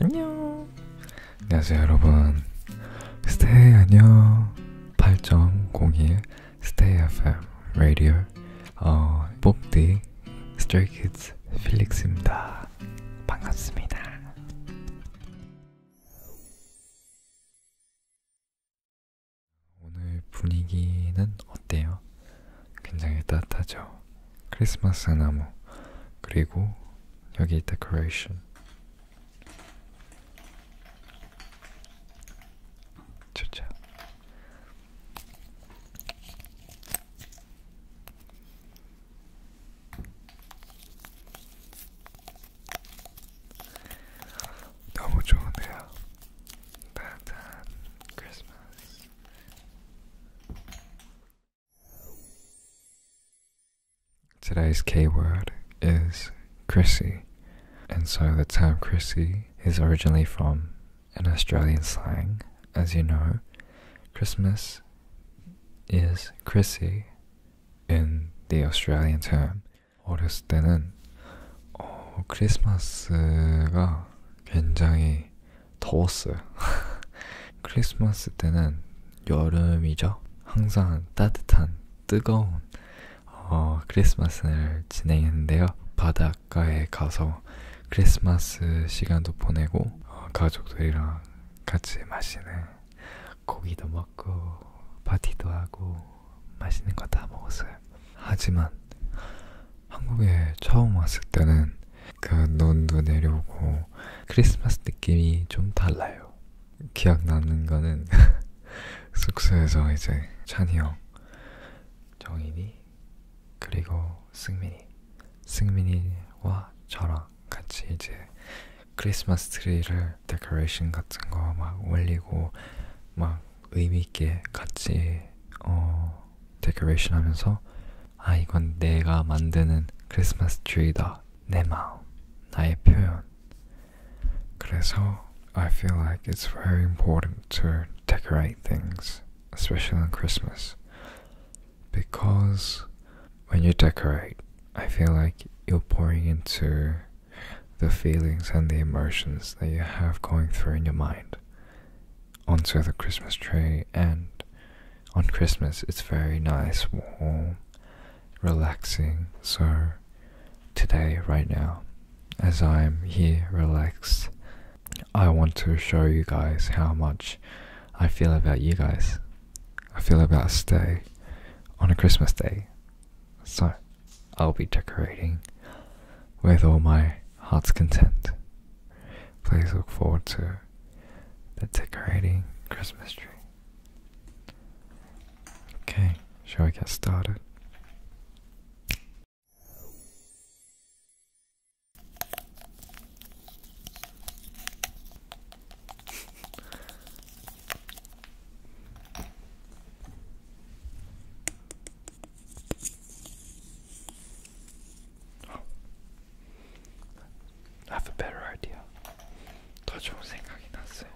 안녕 안녕하세요 여러분 스테이 안녕 8.02 스테이 FM 라디오 어, 뽑디 스트레이 키즈 필릭스입니다 반갑습니다 오늘 분위기는 어때요? 굉장히 따뜻하죠. 크리스마스 나무 그리고 여기 데코레이션 좋죠. 너무 좋은데요. 따뜻한 크리스마스. Today's keyword is Chrissy, and so the term Chrissy is originally from an Australian slang. As you know, Christmas is Chrissy in the Australian term. 어렸을 때는 어, 크리스마스가 굉장히 더웠어요. 크리스마스 때는 여름이죠. 항상 따뜻한 뜨거운 어, 크리스마스를 진행했는데요. 바닷가에 가서 크리스마스 시간도 보내고 어, 가족들이랑 같이 맛있는 고기도 먹고 파티도 하고 맛있는 거 다 먹었어요. 하지만 한국에 처음 왔을 때는 그 눈도 내려오고 크리스마스 느낌이 좀 달라요. 기억나는 거는 숙소에서 이제 찬이 형, 정인이, 그리고 승민이, 승민이와 저랑 같이 이제 크리스마스 트리를 데코레이션 같은 거 막 올리고 막 의미 있게 같이 어 데코레이션 하면서 아 이건 내가 만드는 크리스마스 트리다 내 마음 나의 표현 그래서 I feel like it's very important to decorate things especially on Christmas because when you decorate I feel like you're pouring into the feelings and the emotions that you have going through in your mind onto the Christmas tree, and on Christmas it's very nice, warm, relaxing. So, today, right now, as I'm here relaxed, I want to show you guys how much I feel about you guys. I feel about a stay on a Christmas day. So, I'll be decorating with all my heart's content. Please look forward to the decorating Christmas tree. Okay, shall we get started? I have a better idea. 더 좋은 생각이 났어요.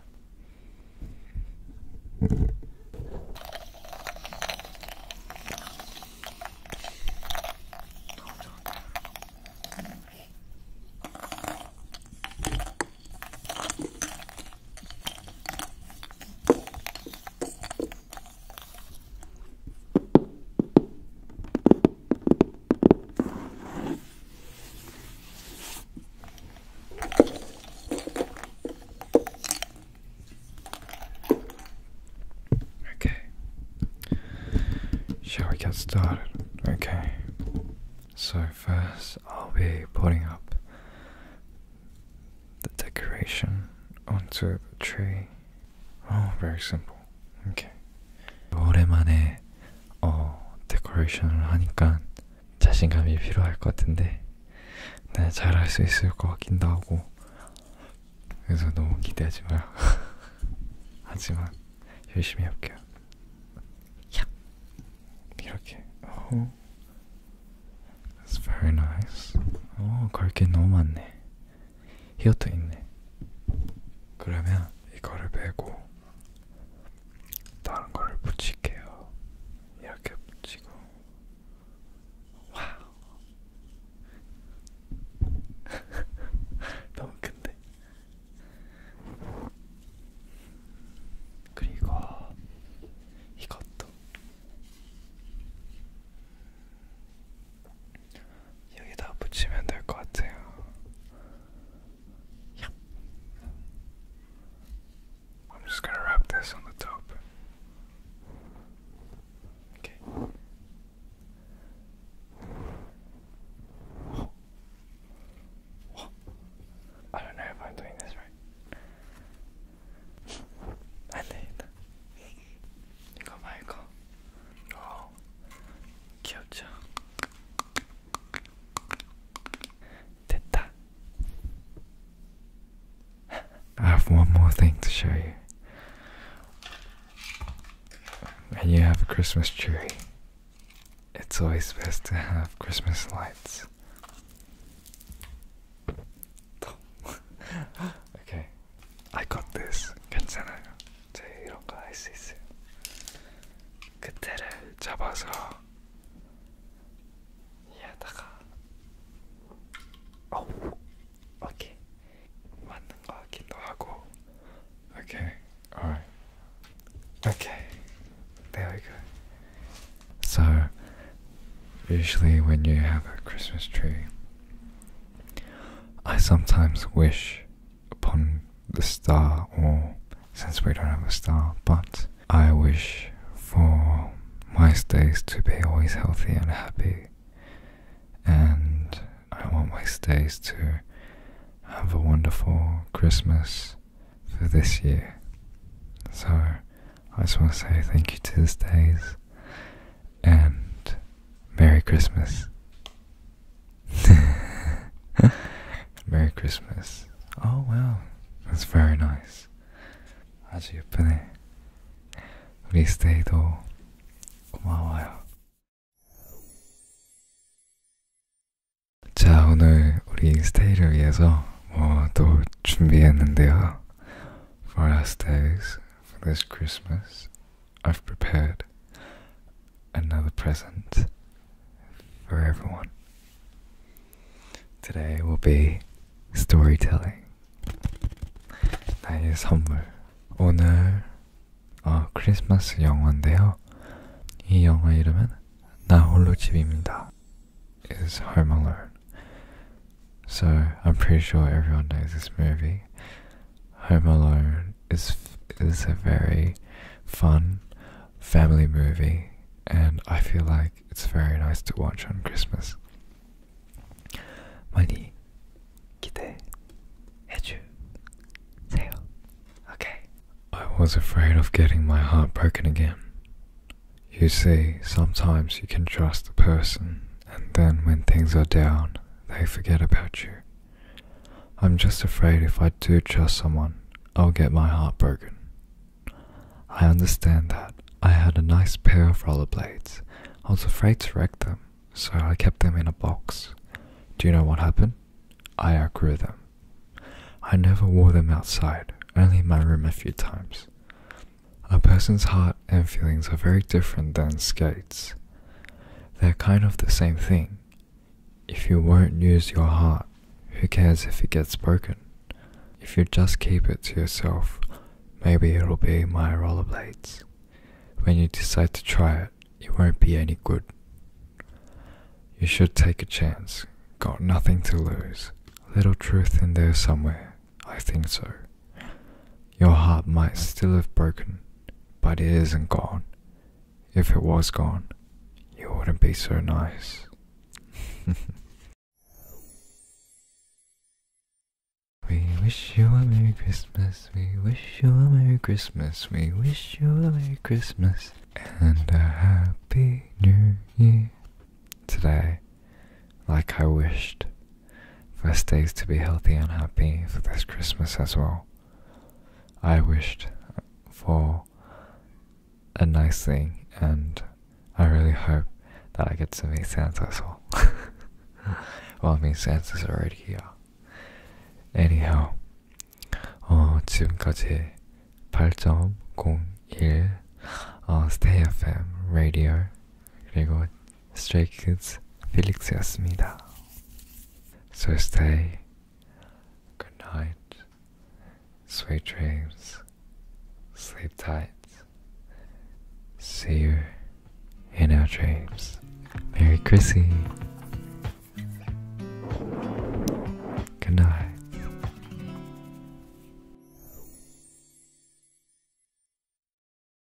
Okay. Shall we get started? Okay. So, first, I'll be putting up the decoration onto the tree. Oh, very simple. Okay. 오랜만에 어 데코레이션을 하니까 자신감이 필요할 것 같은데 네, 잘할 수 있을 것 같긴도 하고 그래서 너무 기대하지 마요. 하지만 열심히 할게요. 이렇게. Oh, that's very nice. 어, 걸게 너무 많네. 히어트 있네. 그러면 이거를 빼고 다른 거를 붙일게요. 이렇게 붙이고 와우 너무 큰데 그리고 이것도 같아요. I'm just gonna wrap this on the top. Okay. I don't know if I'm doing this right. I did. 이거 말고 어 귀엽죠? 됐다. I have one more thing to show you. And you have a Christmas tree, it's always best to have Christmas lights. okay. I got this. 괜찮아요. 제 이런 거할수 있어요. 그때를 잡아서 얘다가 어, 오케이. 맞는 거 같기도 하고. Okay. Alright. Okay. There we go. So, usually when you have a Christmas tree, I sometimes wish upon the star, or since we don't have a star, but I wish for my stays to be always healthy and happy, and I want my stays to have a wonderful Christmas for this year. So I just want to say thank you to the stays and Merry Christmas. Merry Christmas. Oh, well, that's very nice. 아주 예쁘네. 우리 스테이도 고마워요. 자, 오늘 우리 스테이를 위해서 뭐 또 준비했는데요. For our stays, for this Christmas, I've prepared another present for everyone. Today will be storytelling. 나의 선물. 오늘 어, 크리스마스 영화인데요. 이 영화 이름은 나 집입니다. Is Home Alone. So I'm pretty sure everyone knows this movie. Home Alone is is a very fun family movie, and I feel like it's very nice to watch on Christmas. 많이 기대해주세요. Okay. I was afraid of getting my heart broken again. You see, sometimes you can trust a person and then when things are down, they forget about you. I'm just afraid if I do trust someone, I'll get my heart broken. I understand that. I had a nice pair of rollerblades. I was afraid to wreck them, so I kept them in a box. Do you know what happened? I outgrew them. I never wore them outside, only in my room a few times. A person's heart and feelings are very different than skates. They're kind of the same thing. If you won't use your heart, who cares if it gets broken? If you just keep it to yourself, maybe it'll be my rollerblades. When you decide to try it, it won't be any good. You should take a chance. Got nothing to lose. Little truth in there somewhere. I think so. Your heart might still have broken, but it isn't gone. If it was gone, you wouldn't be so nice. we wish you a Merry Christmas, we wish you a Merry Christmas, we wish you a Merry Christmas and a Happy New Year. Today, like I wished, First us days to be healthy and happy for this Christmas as well. I wished for a nice thing, and I really hope that I get to meet Santa as well. well, I mean, Santa's already here. Anyhow, 어, 지금까지 8.01 어, Stay FM Radio 그리고 Stray Kids, Felix 필릭스였습니다. So stay. Good night. Sweet dreams. Sleep tight. See you in our dreams. Merry Chrissy. Good night.